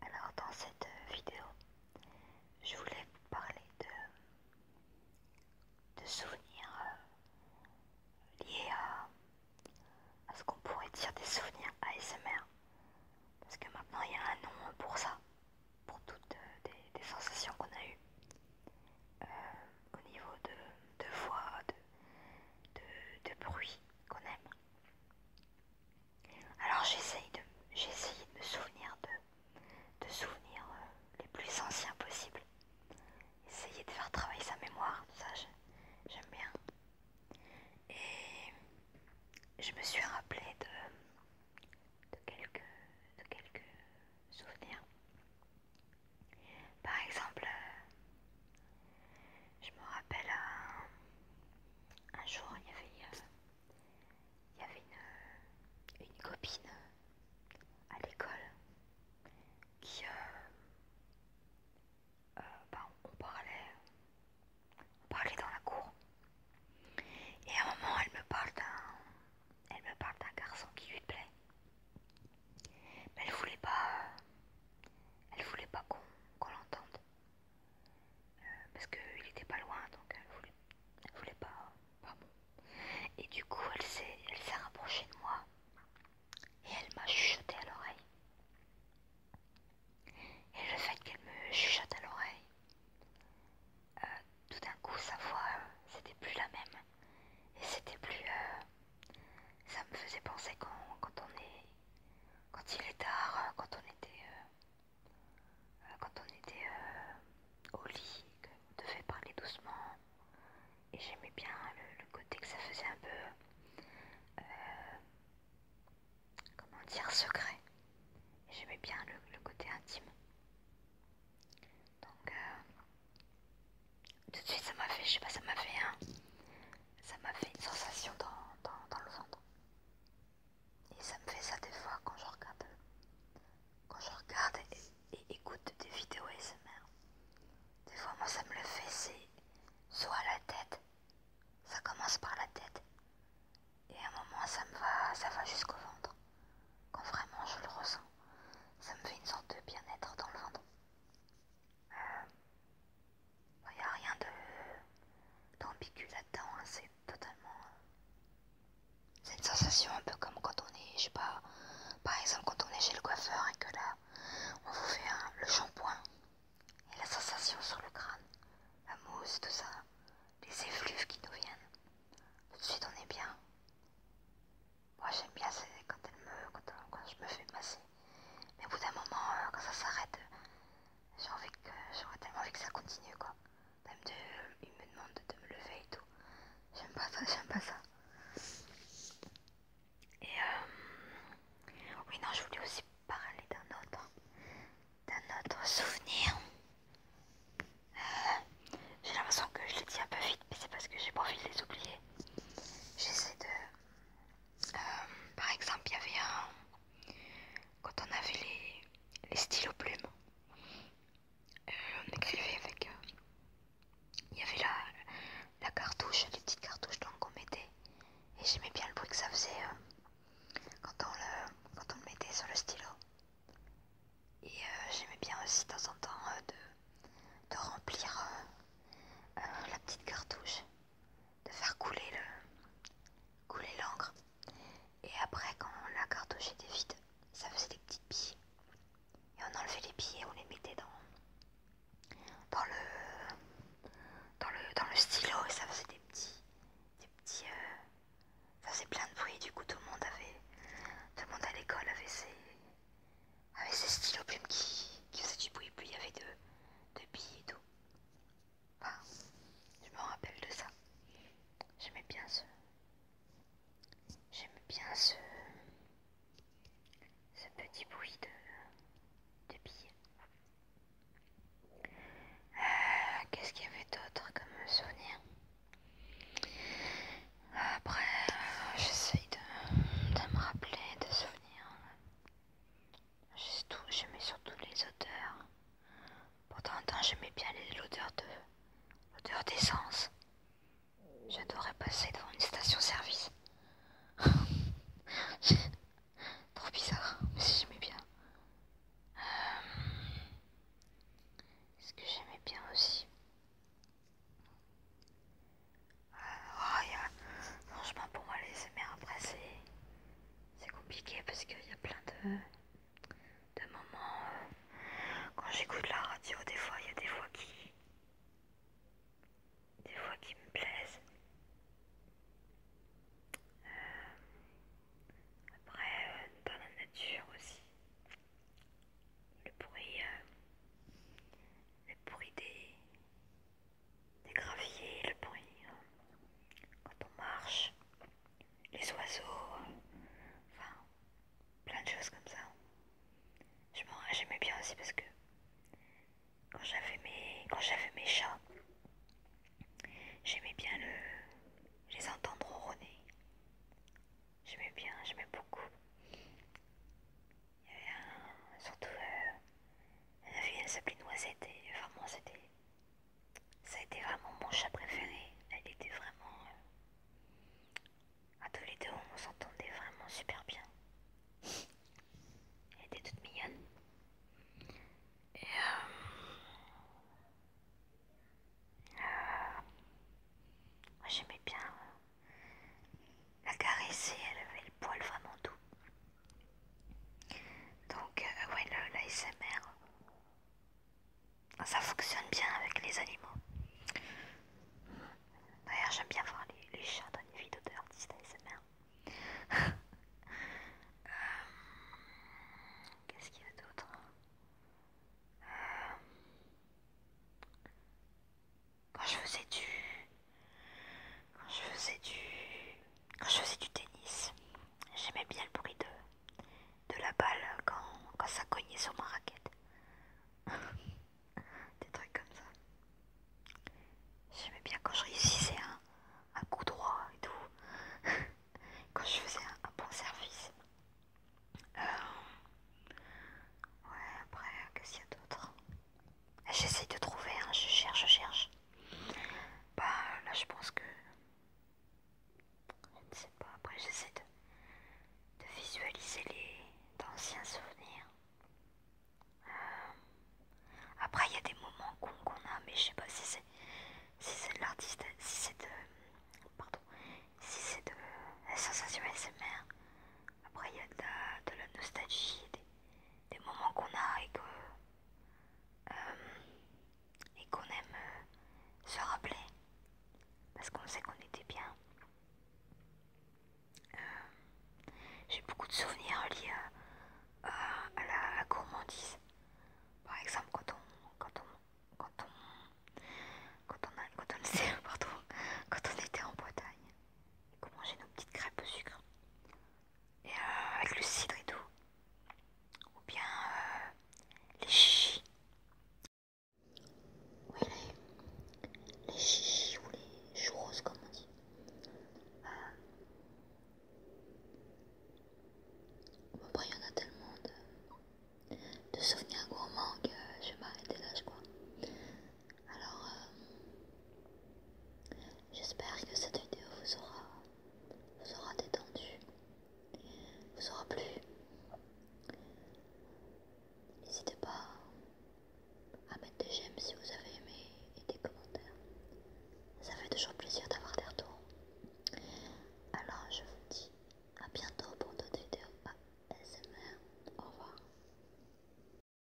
Alors dans cette vidéo, je voulais vous parler de de souvenirs euh, liés à, euh, à ce qu'on pourrait dire des souvenirs ASMR. Parce que maintenant il y a un nom pour ça, pour toutes euh, des, sensations qu'on a eues au niveau de, voix, de, bruit qu'on aime. Alors j'essaye de, de me souvenir de de souvenirs euh, les plus anciens possibles. Essayer de faire travailler sa mémoire, ça j'aime bien. Et je me suis rappelée de, quelques, souvenirs. Par exemple, euh, je me rappelle un, jour, il y avait... Euh, il y avait une, euh, copine euh, à l'école qui. Euh, bah, on, parlait, parlait dans la cour. Et à un moment, elle me parle d'un, elle me parle d'un garçon qui lui plaît. Mais elle voulait pas, elle voulait pas qu'on l'entende. Euh, parce qu'il était pas loin donc elle voulait, voulait pas, Et du coup elle s'est elle rapprochée de moi et elle m'a chuchoté à l'oreille. Et le fait qu'elle me chuchote à l'oreille, euh, tout d'un coup sa voix euh, c'était plus la même et c'était plus ça me faisait penser quand, on est quand il est tard quand on était euh, quand on était euh, au lit, qu'on devait parler doucement. Et j'aimais bien le, côté que ça faisait un peu, euh, comment dire, secret. J'aimais bien le, côté intime. Donc, tout de suite, ça m'a fait, je sais pas, ça m'a fait ça m'a fait une sensation dans, dans le ventre. Et ça me fait ça des fois quand je regarde, quand je regarde et, écoute des vidéos SMR. Des fois, moi, ça me le fait, c'est soit la tête, ça commence par la tête, et à un moment, ça me va, ça va jusqu'au ventre. Quand vraiment je le ressens, ça me fait une sorte de bien-être dans le ventre. Euh, il n'y a rien d'ambigu là-dedans, hein, c'est totalement. C'est une sensation un peu comme quand on est, je sais pas, par exemple quand on est chez le coiffeur et que là on vous fait le shampoing et la sensation sur le crâne, la mousse, tout ça, les effluves qui nous viennent. Tout de suite on est bien. Moi j'aime bien quand, elle me, quand, je me fais masser. Mais au bout d'un moment, euh, quand ça s'arrête, J'aurais euh, tellement envie que ça continue quoi. Même de... Euh, il me demande de me lever et tout. J'aime pas ça, j'aime pas ça. Et euh... oui non je voulais aussi parler d'un autre. D'un autre souvenir. Euh, j'ai l'impression que je le dis un peu vite, mais c'est parce que j'ai pas de les oublier. J'essaie de... Par exemple il y avait un... Quand on avait les les stylos plumes. Euh, on écrivait avec. Euh, il y avait la, la cartouche, les petites cartouches qu'on mettait. Et j'aimais bien le bruit que ça faisait euh, quand, on le, quand on mettait sur le stylo. Et j'aimais bien aussi de temps en temps de, remplir la petite cartouche de faire couler l'encre et après quand la cartouche était vide ça faisait des petites billes et on enlevait les billes et on les mettait dans dans le dans le dans le stylo et ça faisait des petits petits euh, ça faisait plein de bruit du coup tout le monde avait tout le monde à l'école avait ses stylos plumes qui, faisaient du bruit puis il y avait de, de billes et tout je me rappelle de ça. J'aimais bien ce. J'aimais bien ce. ce petit bruit de. de billets. Euh, qu'est-ce qu'il y avait d'autre comme souvenir Après, euh, j'essaye de, me rappeler de souvenirs j'aimais surtout les odeurs. Pourtant, j'aimais bien l'odeur de d'essence. J'adorais passer devant une station-service. Trop bizarre, mais j'aimais bien. Est-ce euh, que j'aimais bien aussi euh, oh, Franchement, pour moi, les mettre à c'est compliqué parce qu'il y a plein de, de moments. Euh, quand j'écoute la radio, des fois, il y a des voix qui. des voix qui me plaisent. Euh, après, euh, dans la nature aussi. Le bruit. le bruit des, des graviers, le bruit, hein. quand on marche, les oiseaux, hein. enfin plein de choses comme ça. J'aimais bien aussi parce que quand j'avais mes, quand mes chats, j'aimais bien le, les entendre ronronner. J'aimais bien, j'aimais beaucoup. Il y avait surtout euh, la fille elle s'appelait Noisette et vraiment c'était. Ça a été vraiment mon chat préféré. Elle était vraiment. Euh, à tous les deux on s'entendait vraiment super bien. Elle était toute mignonne. Et euh, euh, Moi j'aimais bien la caresser, elle avait le poil vraiment doux. Donc, oui, euh, ouais, l'ASMR, ça fonctionne bien avec les animaux. D'ailleurs, j'aime bien voir les, chats dans les vidéos d'artistes ASMR. Euh, qu'est-ce qu'il y a d'autre euh, Quand je faisais du quand je faisais du, quand je faisais du tennis, j'aimais bien le bruit de, de la balle quand, quand ça cognait sur ma raquette. Des trucs comme ça. J'aimais bien quand je réussissais un, coup droit et tout. quand je faisais un, bon service. Euh, ouais, après, qu'est-ce qu'il y a d'autre ah, J'essaye de trouver, hein. je cherche, je cherche. Bah là je pense que... Je ne sais pas, après j'essaie de, visualiser les anciens souvenirs. Euh, après il y a des moments cons qu'on a, mais je sais pas si c'est si c'est de l'artiste, si c'est de... Pardon, si c'est de la sensation SMR. Après il y a de la, nostalgie, des moments qu'on a et euh, qu'on aime euh, se rappeler parce qu'on sait qu'on était bien. Euh, j'ai beaucoup de souvenirs liés à, la, gourmandise. Par exemple, quand on, quand on, quand on, quand on, quand on était en Bretagne et qu'on mangeait nos petites crêpes au sucre, et, euh, avec le cidre et tout, ou bien euh, les chichis. Oui, les, les chichis ou les chou-roses comme on dit. Euh. après, il y en a tellement de, de souvenirs gourmands que je vais m'arrêter là, je crois. Alors, euh, j'espère que cette vidéo vous aura, vous aura détendu, vous aura plu. N'hésitez pas à mettre des j'aime si vous avez aimé et des commentaires. Ça fait toujours plaisir d'avoir des retours. Alors, je vous dis à bientôt pour d'autres vidéos ASMR. Au revoir.